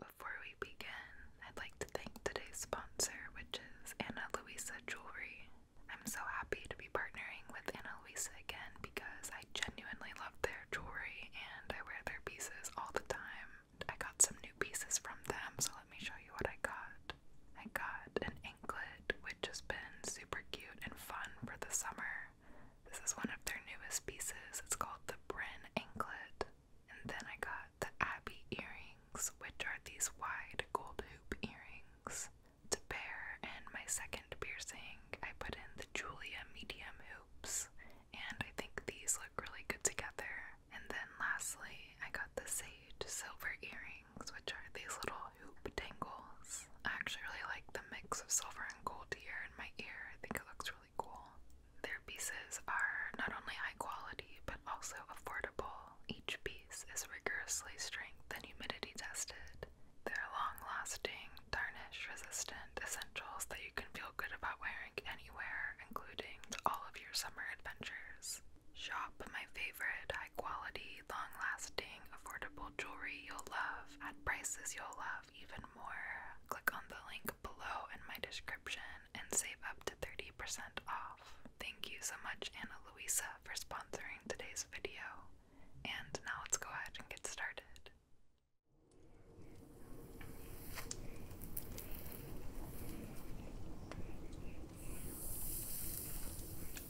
Before we begin, I'd like to thank today's sponsor, which is Anna Luisa Jewelry. I'm so happy to be partnering with Anna Luisa again because I genuinely love their jewelry and I wear their pieces all the time. I got some new pieces from them, so let me show you what I got. I got an anklet, which has been super cute and fun for the summer. This is one of their newest pieces. It's called the Bryn Anklet. And then I got the Abbey earrings, which are these wide gold hoop earrings to pair. And my second piercing, I put in the Julia medium hoops, and I think these look really good together. And then lastly, I got the sage silver earrings, which are these little hoop tangles. I actually really like the mix of silver and gold here in my ear. I think it looks really cool. Their pieces are not only high quality but also affordable. Each piece is rigorously strength and humidity tested. They're long lasting, tarnish resistant essentials that you can feel good about wearing anywhere, including all of your summer adventures. Shop my favorite high quality, long lasting, affordable jewelry you'll love at prices you'll love even more. Click on the link below in my description and save up to 30% off. Thank you so much, Anna Luisa, for sponsoring today's video. And now let's go ahead and get started.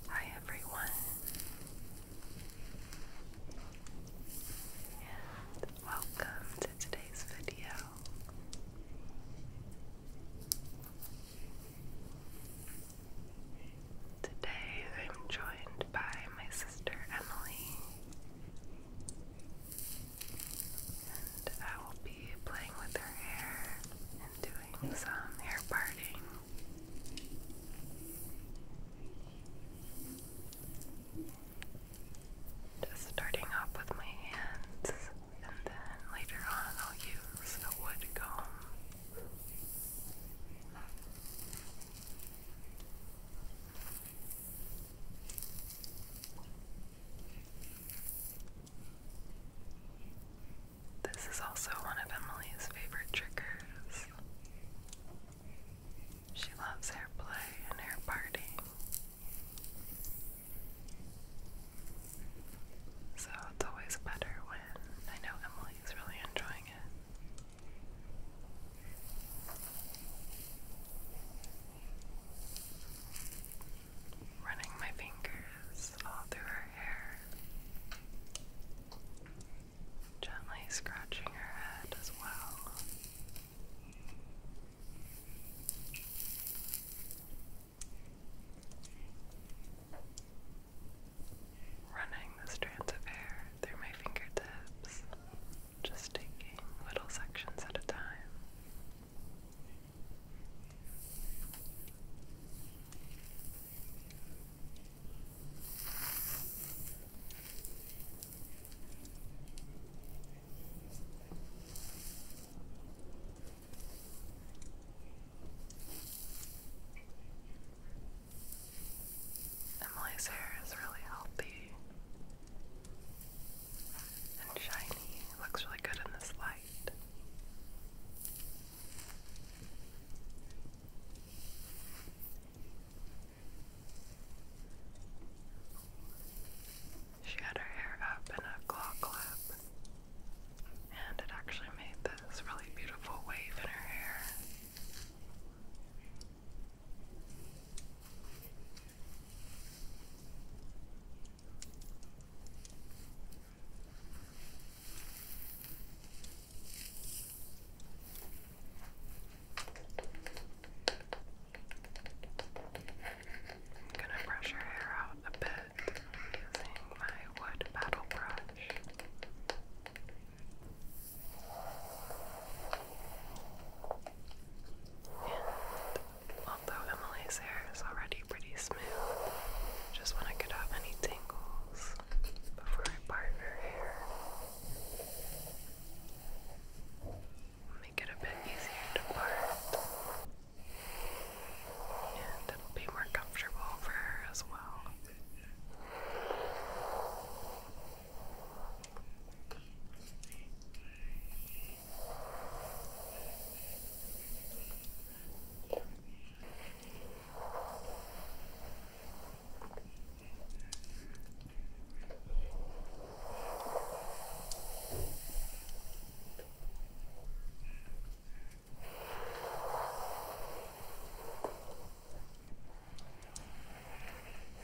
Hi everyone, and welcome to today's video. Today I'm joined by my sister Emily, and I will be playing with her hair and doing some hair parting. Just starting off with my hands, and then later on I'll use a wood comb. This is also one of Emily's favorite triggers. She loves hair play and air party. So it's always better when I know Emily's really enjoying it. Running my fingers all through her hair, gently scratching her head as well. Running the strands of hair through my fingertips, just taking little sections at a time. Emily's hair is really healthy and shiny. looks really good in this light. She had her hair up in a claw clap, and it actually made this really beautiful wave in her hair. I'm gonna brush your hair out a bit using my wood battle brush. And although Emily's hair is already pretty smooth, just want to get out any tangles before I part her hair make it a bit easier to part. And it'll be more comfortable for her as well.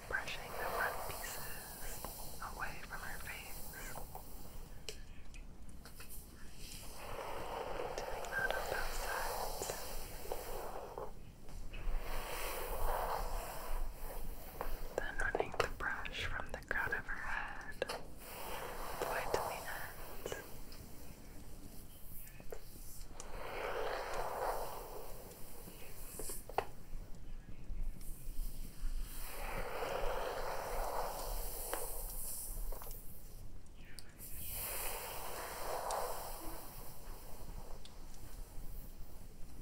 Brushing the front pieces away from her face. Doing that on both sides. Then running the brush from the crown of her head all the way to the end.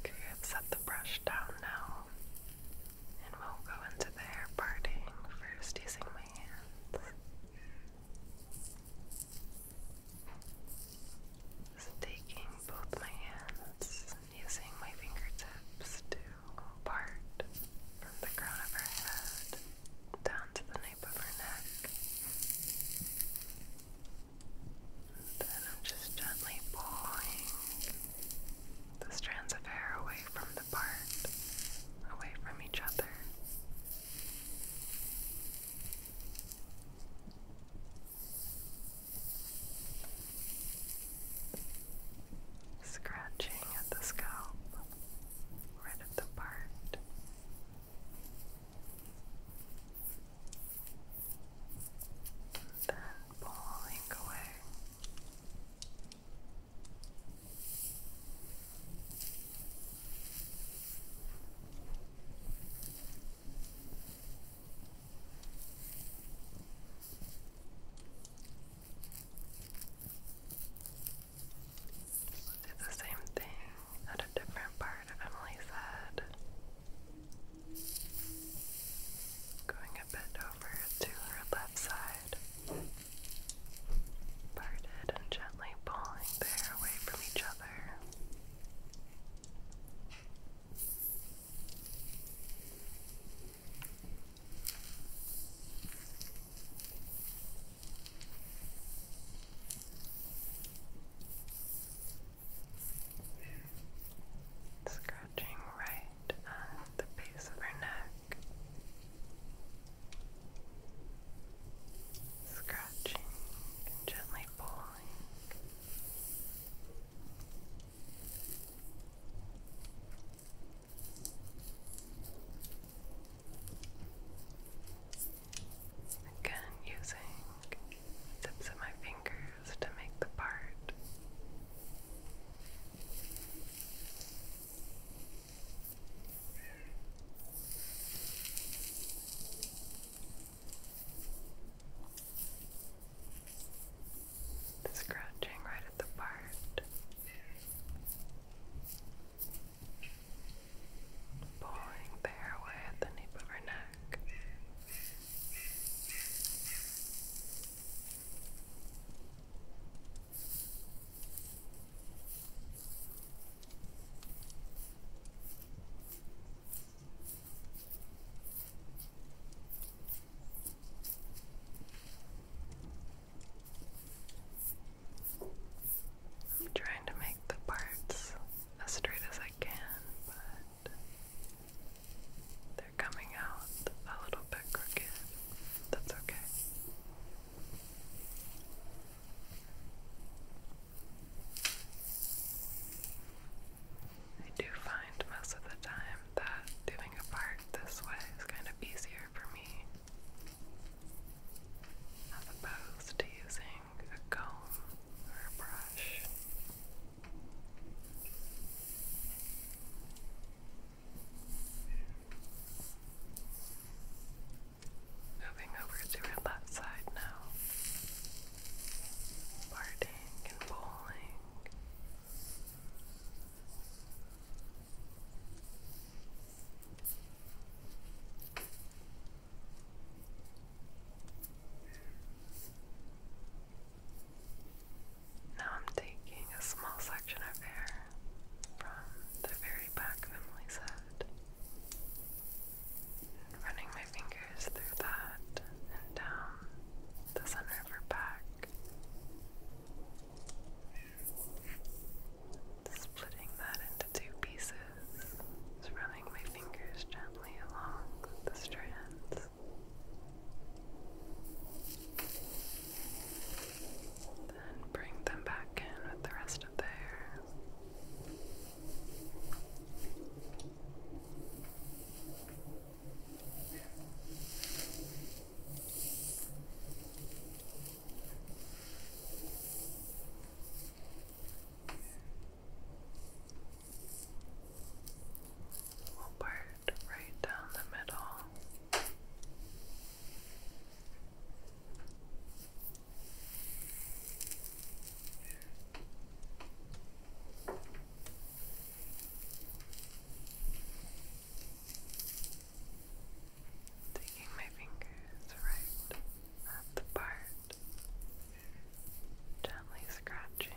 Okay, I've set the brush down now, and we'll go into the hair parting first using my hands. taking both my hands using my fingertips to part from the crown of her head down to the nape of her neck. Then I'm just gently pulling the strands of hair away from the part, away from each other. Scratching at the scalp, right at the part. Then pulling away do the same thing at a different part of Emily's head. Going a bit over to her left side. Parted and gently pulling the hair away from each other. Scratching right at the base of her neck. Scratching and gently pulling. Again, using the tips of my fingers to make the part. scratching right at the part. Pulling the hair away at the nape of her neck. I'm trying to make the parts as straight as I can, but they're coming out a little bit crooked. That's okay. I do find most of the time that doing a part this way is kind of easier for me opposed to using a comb or a brush. Moving over to our left side now. Parting and bowling. Now I'm taking a small section of hair from the very back of Emily's head running my fingers through that and down the center of her back. Splitting that into two pieces. Just running my fingers gently along the strands. Then bring them back in with the rest of the hair. We'll part right down the middle. Taking my fingers right at the part gently scratching.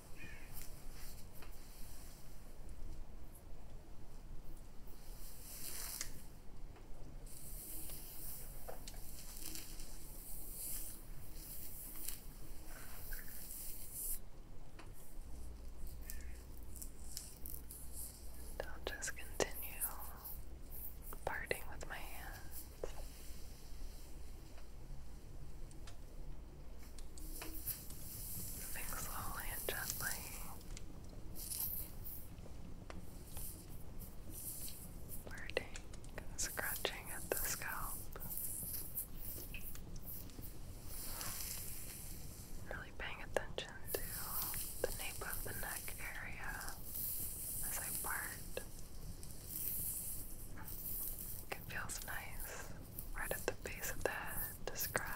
I'll just continue parting with my hands. Moving slowly and gently. Birding, scratching at the scalp. Really paying attention to the nape of the neck area as I part. It feels nice right at the base of the head to scratch.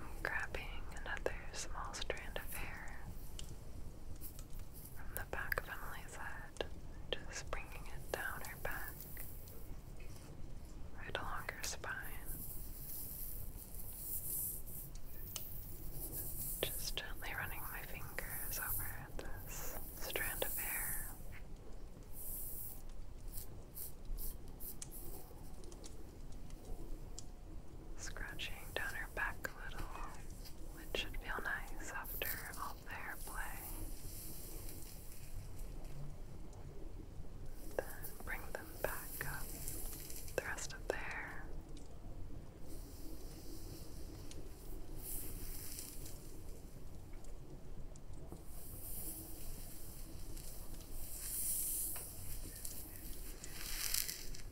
I'm grabbing another small strand of hair from the back of Emily's head, just bringing it down her back, right along her spine. Just gently running my fingers over this strand of hair. Scratching down her back a little, it should feel nice after all their play. Then bring them back up the rest of their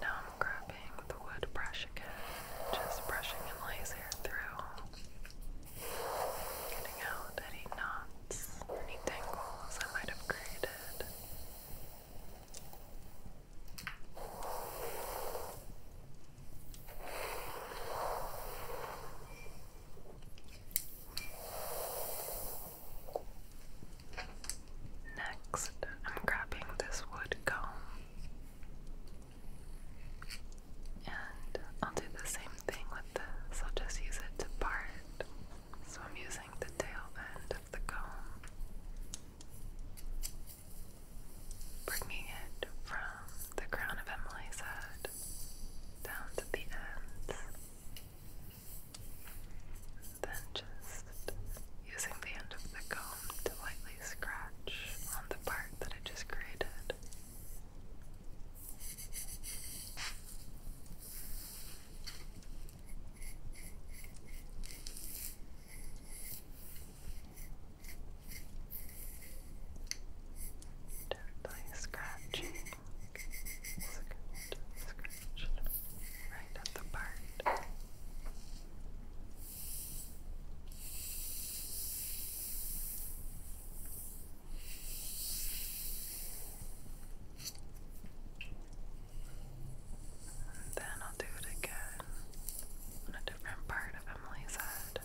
Now I'm grabbing the wood brush again, just brushing and layers through. Getting out any knots any tangles I might have created. Next, I'm grabbing this wood comb and I'll do the same thing with this. I'll just use it to part. So I'm using the tail end of the comb, bringing it from the crown of Emily's head down to the ends. Then just using the end of the comb to lightly scratch on the part that I just created. Definitely scratching. Scratch right at the part. And then I'll do it again on a different part of Emily's head.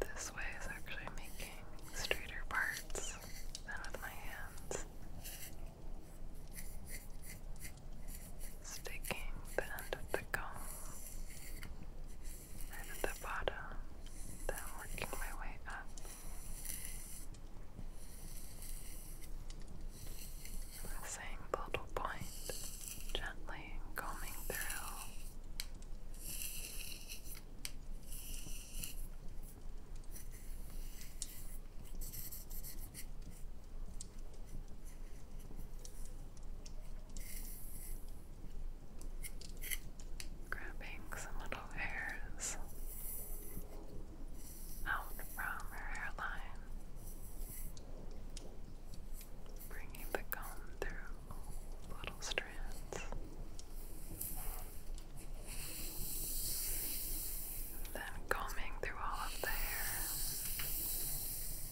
This way is actually making straighter parts than with my hands sticking the end of the comb at the bottom, then working my way up. The same little point, gently combing through. Grabbing some little hairs out from her hairline, bringing the comb through little strands. Then combing through all of the hair,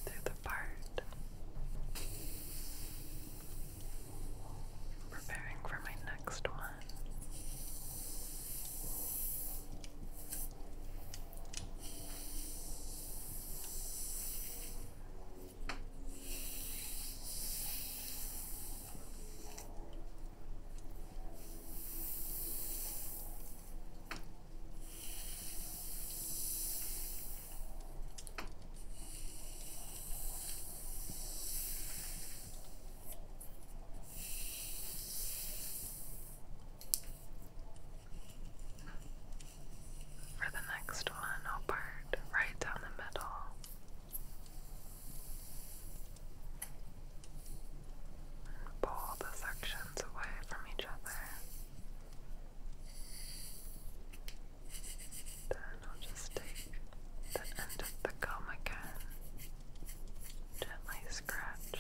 through the part, preparing for my next one. For the next one, i right down the middle and pull the sections away from each other. Then I'll just take the end of the comb again, gently scratch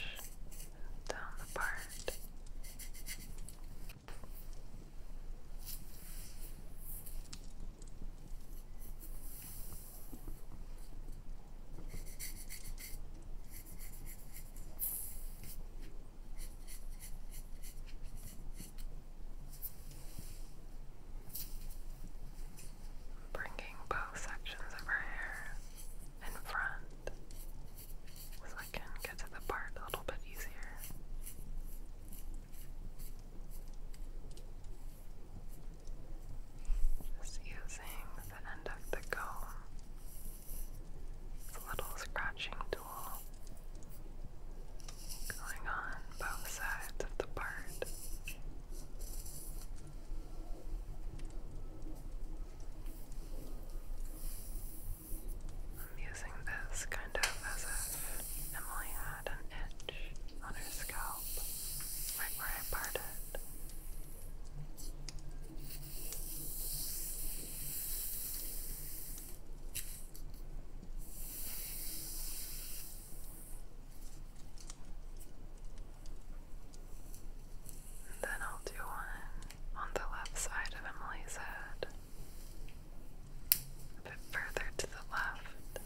down the part. Bringing both sections of her hair in front so I can get to the part a little bit easier. Just using the end of the comb, a little scratching tool going on both sides of the part. I'm using this kind of as if Emily had an itch on her scalp help, right where I parted. then I'll do one on the left side of Emily's head, a bit further to the left.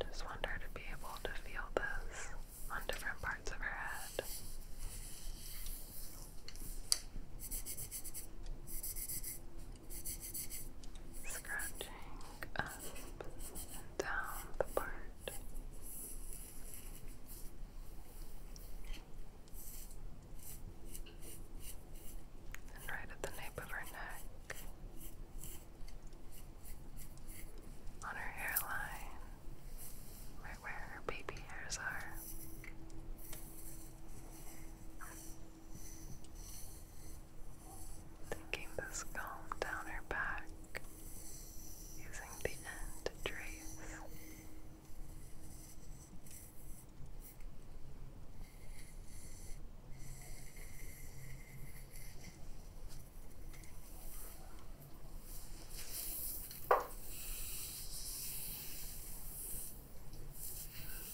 Just wonder to be able to feel this on different parts of her head. Scratching up and down the part. And right at the nape of her neck on her hairline, right where her baby hairs are. Taking this comb down her back, using the end to trace.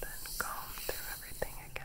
Then comb through everything again.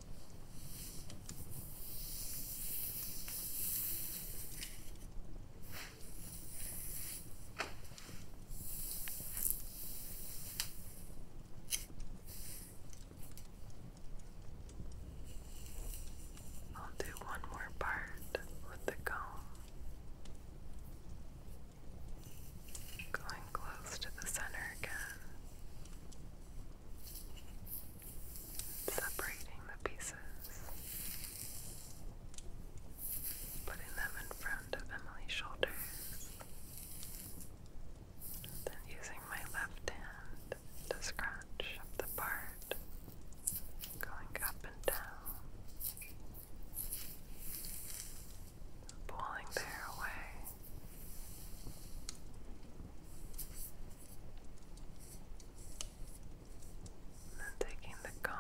I'll do one more part with the comb. Going close to the center again separating the pieces, putting them in front of Emily's shoulders, then using my left hand to scratch the part, going up and down, pulling there away. And then taking the comb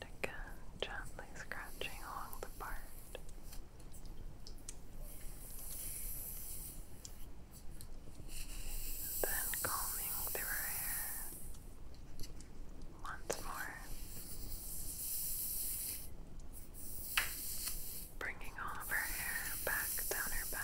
again gently scratching along the part. then combing through hair once more. Bringing all of her hair back down her back.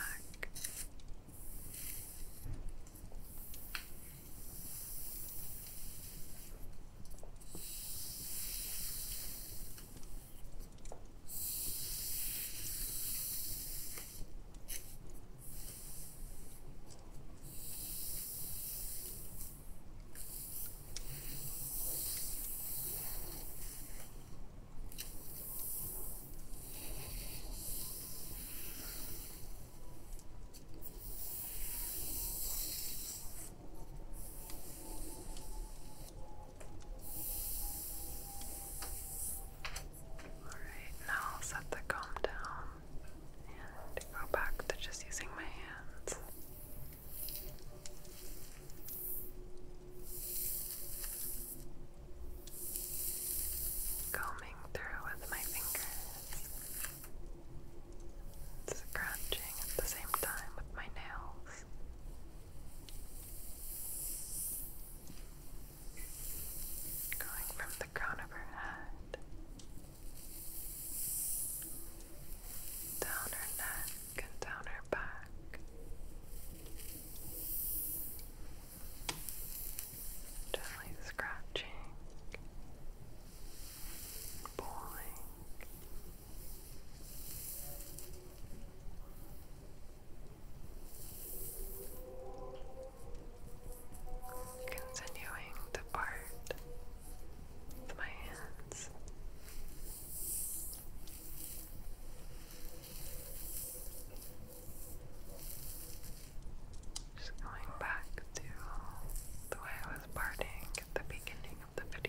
Alright, now I'll set the comb down and go back to just using my hands combing through with my fingers, scratching at the same time with my nails. Going from the crown of her head down her neck and down her back. Gently scratching, pulling. Continuing to part with my hands. Just going back to the way I was parting at the beginning of the video.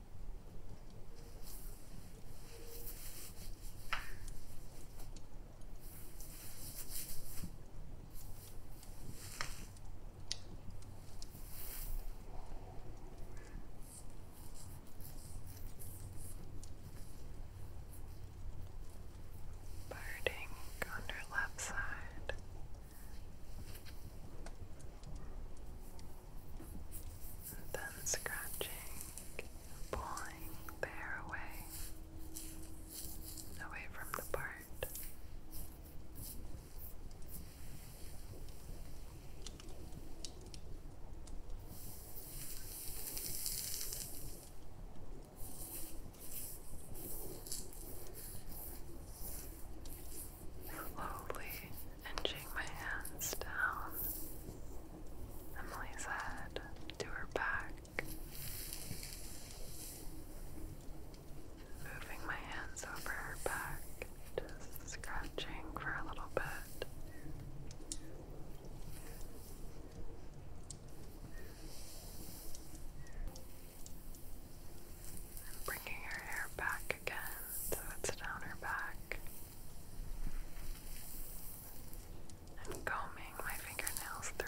Birding on her left side then scratching, pulling the hair away, away from the part. Slowly inching my hands down Emily's head to her back. Moving my hands over her back, scratching for a little bit. bringing her hair back again. So it's down her back. And combing my fingernails through.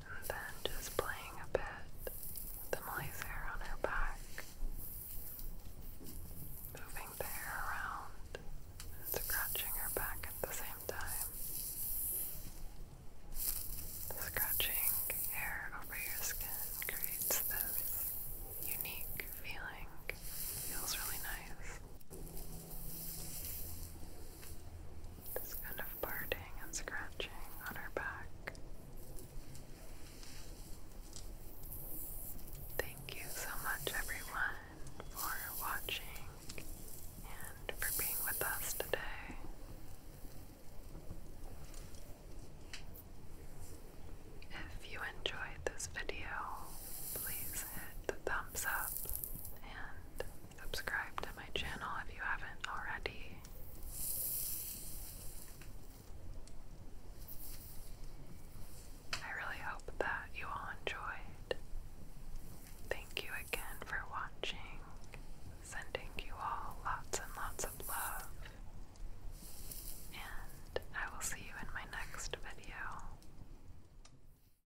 and then just playing a bit with the moist hair on her back, moving the hair around scratching her back at the same time. Scratching hair over your skin creates this unique feeling. Feels really nice. This kind of parting and scratching on her back. Thank you so much, everyone, for watching and for being with us today. If you enjoyed this video, please hit the thumbs up and Subscribe to my channel if you haven't already. I really hope that you all enjoyed. Thank you again for watching. Sending you all lots and lots of love. And I will see you in my next video.